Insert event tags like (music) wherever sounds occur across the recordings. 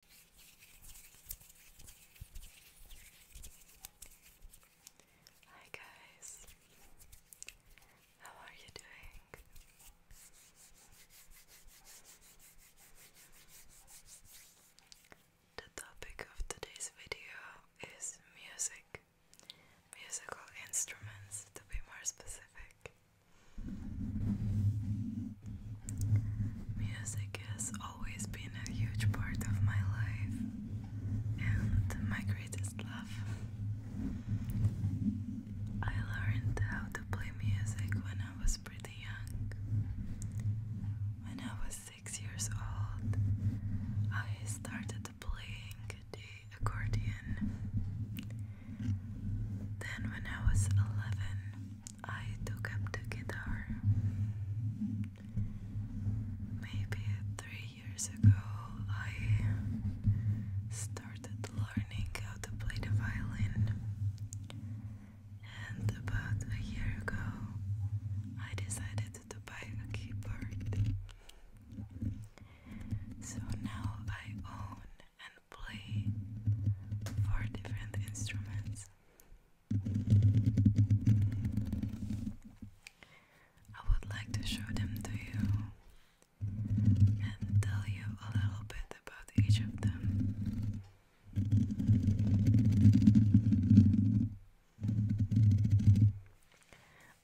Hi guys, how are you doing? The topic of today's video is music, musical instruments to be more specific. Music has always been a huge part of my life and my greatest love. I learned how to play music when I was pretty young. When I was six years old, I started playing the accordion. Then, when I was 11, I took up the guitar maybe three years ago. I started learning how to play the violin, and about a year ago, I decided to buy a keyboard. So now I own play four different instruments. I would like to show them to you and tell you a little bit about each of them.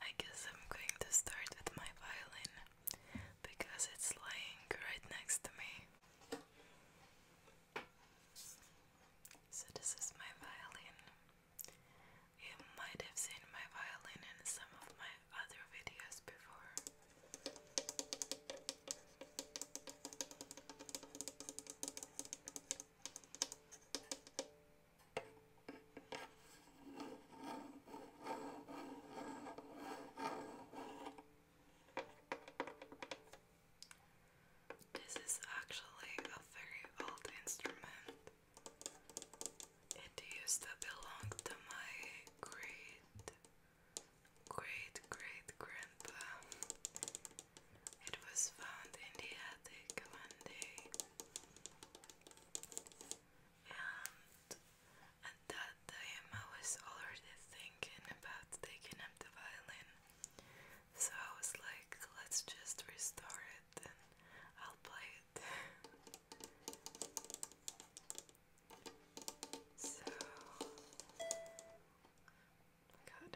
I guess I'm going to start with my violin because it's lying right next to me. So this is my violin. You might have seen my violin in some of my other videos before. This is actually a very old instrument. It used to belong to my great, great, great grandpa. It was found in the attic one day. And at that time, I was already thinking about taking up the violin, so I was like, let's just restore it and I'll play it. (laughs) so, oh God.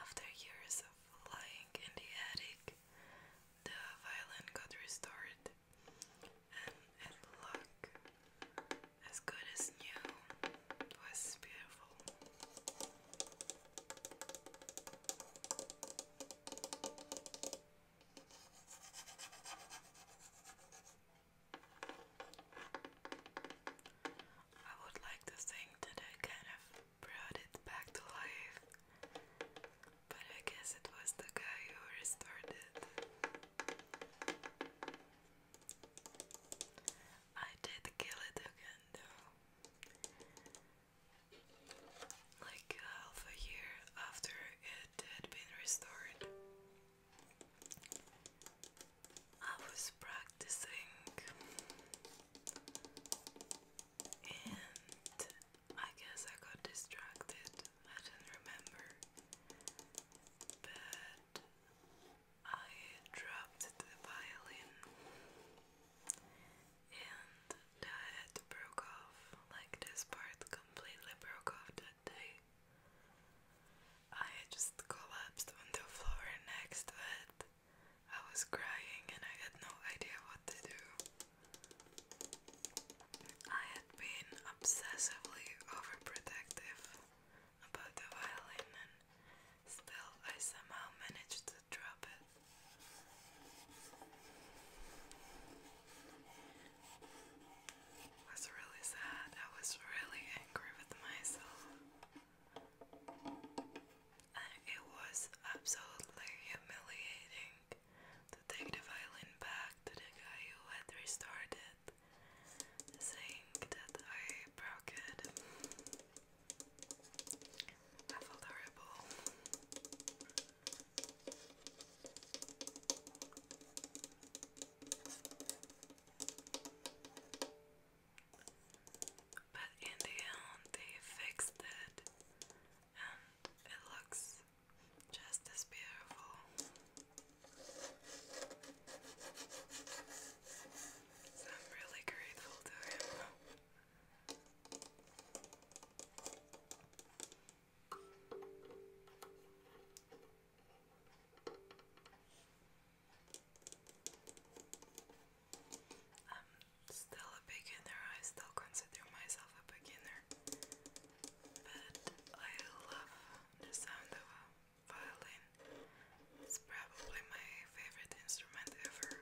After years of lying in the attic, the violin got restored and it as good as new. was beautiful. I would like to think that I kind of brought it back to life, but I guess it was the guy who restored it. I did kill it again Like uh, half a year after it had been restored. I was practicing and I guess I got distracted. I don't remember, but I dropped the violin and the head broke off, like this part completely broke off that day. I just collapsed on the floor next to it. I was crying and I had no idea what to do. I had been obsessively overprotective about the violin, and still I somehow managed to drop it. I was really sad. I was really angry with myself. And it was absolutely humiliating to take the violin back to the guy who had restored it, saying that I broke it. I horrible. But in the end, they fixed it, and it looks just as beautiful. I'm really grateful to him. I'm still a beginner, I still consider myself a beginner but I love the sound of a violin. It's probably my favorite instrument ever.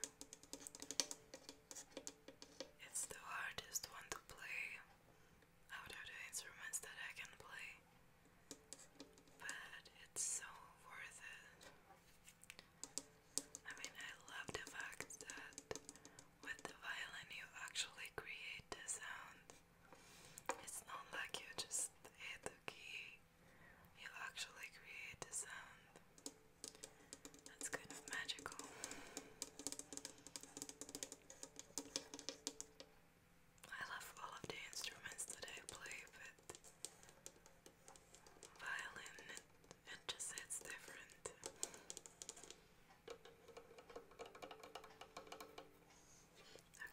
It's the hardest one to play out of the instruments that I can play, but it's so worth it. I mean, I love the fact that with the violin, you actually create the sound. It's not like you just hit the key, you actually create the sound. That's kind of magical. I love all of the instruments that I play, but violin, it, it just hits different.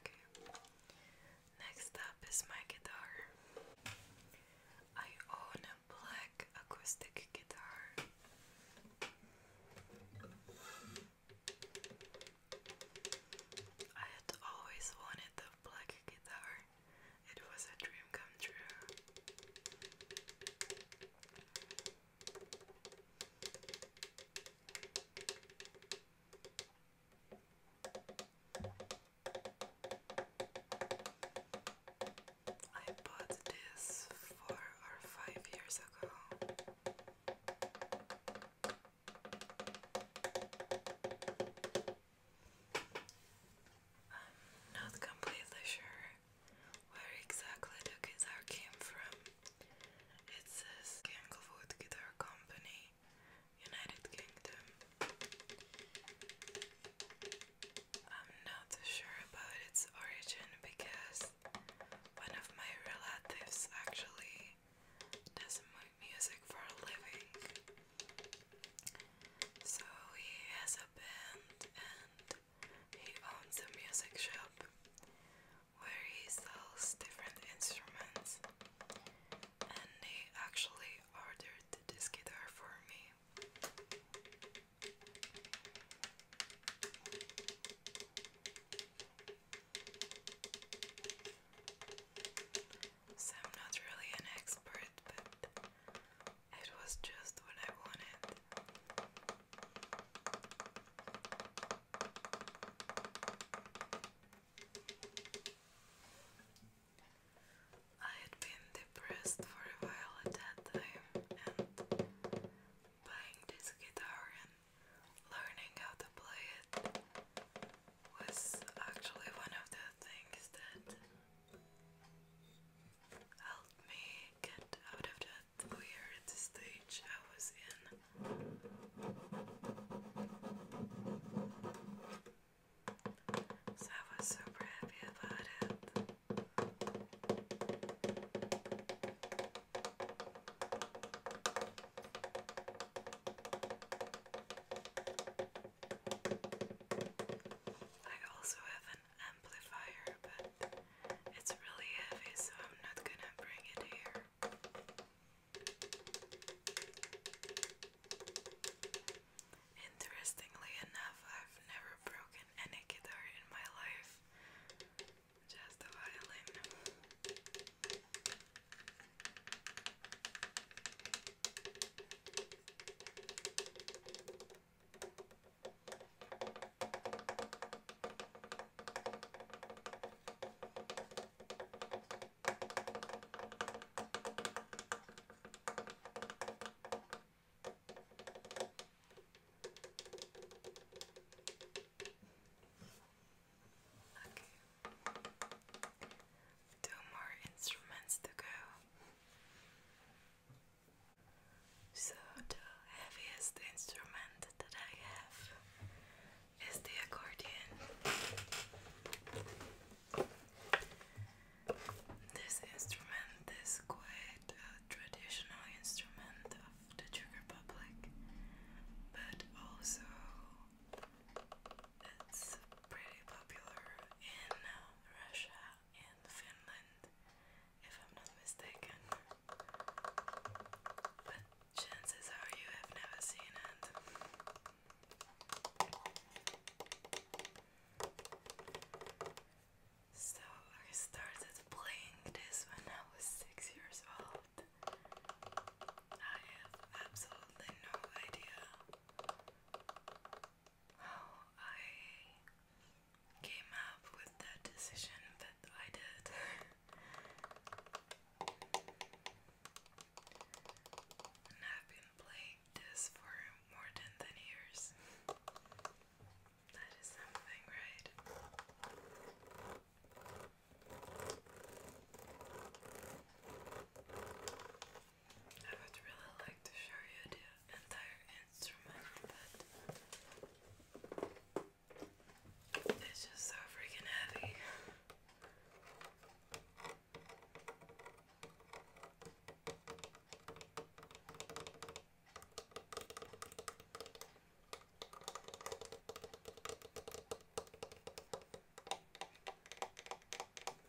Okay. Next up is my guitar. I own a black acoustic guitar. I had always wanted a black guitar. It was a dream come true. I bought this four or five years ago. not completely sure where exactly the guitar came from. It says Ganglewood Guitar Company, United Kingdom. I'm not sure about its origin because one of my relatives actually does music for a living. So he has a band and he owns a music shop where he sells different instruments, and he actually ordered this guitar for me. So I'm not really an expert, but it was just what I wanted. I had been depressed for a while at that time, and buying this guitar and learning how to play it was actually one of the things that Help me get out of that weird stage I was in. So I was super happy about it. I also have amplifier, but it's really heavy, so I'm not gonna bring it here. Interestingly enough, I've never broken any guitar in my life, just a violin. Okay. Two more instruments to go. So, the heaviest instrument that I have is the accordion. This instrument is quite a traditional instrument of the Czech Republic, but also it's pretty popular in Russia and Finland, if I'm not mistaken. But chances are you have never seen it. So I started playing this when I was six years old. I have absolutely no idea how I came up with that decision that I did. and I've been playing this for more than 10 years. that is something, right? I would really like to show you the entire instrument, but it's just so freaking heavy.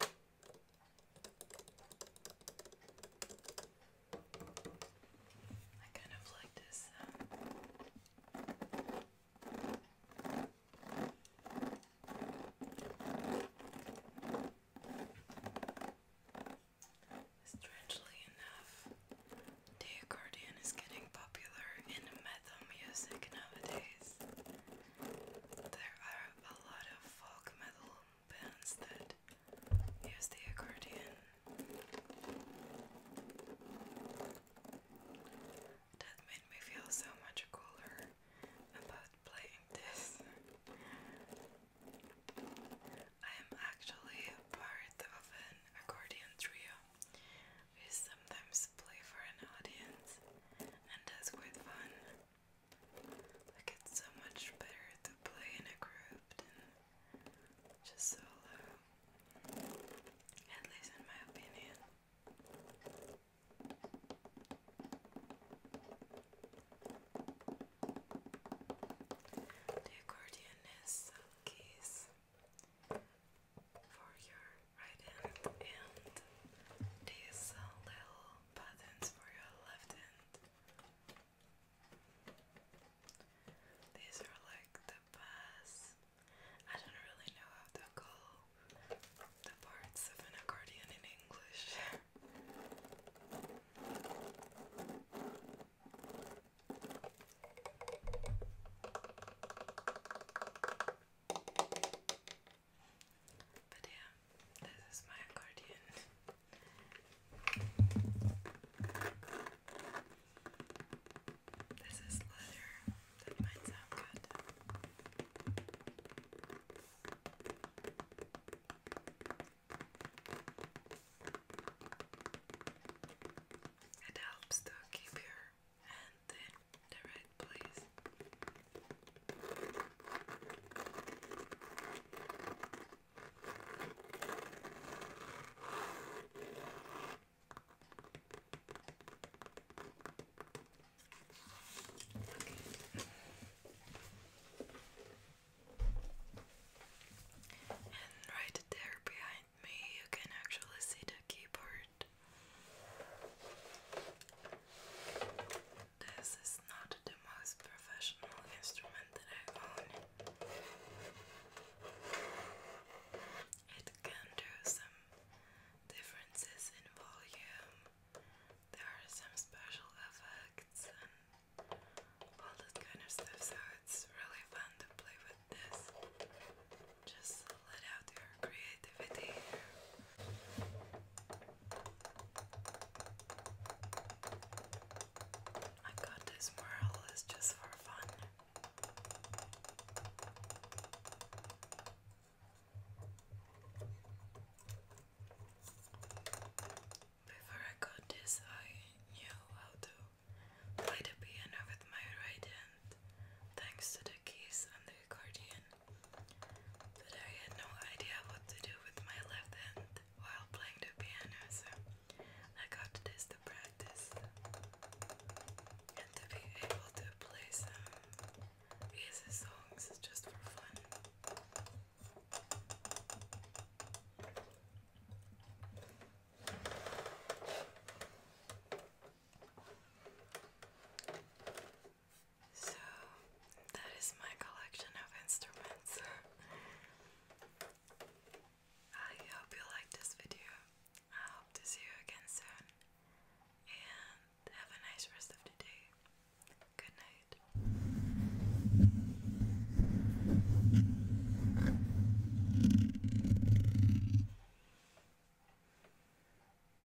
I kind of like this uh, Strangely enough, the accordion is getting popular in metal music nowadays. There are a lot of folk metal bands that use the accordion. That made me feel so much cooler about playing this. I am actually part of an accordion trio. We sometimes play for an audience, and that's quite fun. Like it's so much better to play in a group than just solo. At least in my opinion. The accordion has some keys for your right hand and these little buttons for your left hand. These are like the bass. I don't really know how to call the parts of an accordion in English. But yeah, this is my accordion. This is leather. That might sound good. It helps to keep your hand in the right please. And right there behind me, you can actually see the keyboard. This is not the most professional instrument that I own. It can do some differences in volume. There are some special effects and all that kind of stuff, so it's really fun to play with this. Just let out your creativity. I got this more or just for fun. Before I got this, I knew how to play the piano with my right hand, thanks to the keys on the accordion opinion I had no idea what to do with my left hand while playing the piano, so I got this to practice and to be able to play some easy songs just for fun. So that is my collection of instruments. (laughs) I hope you liked this video. I hope to see you again soon. And have a nice rest of the Good night.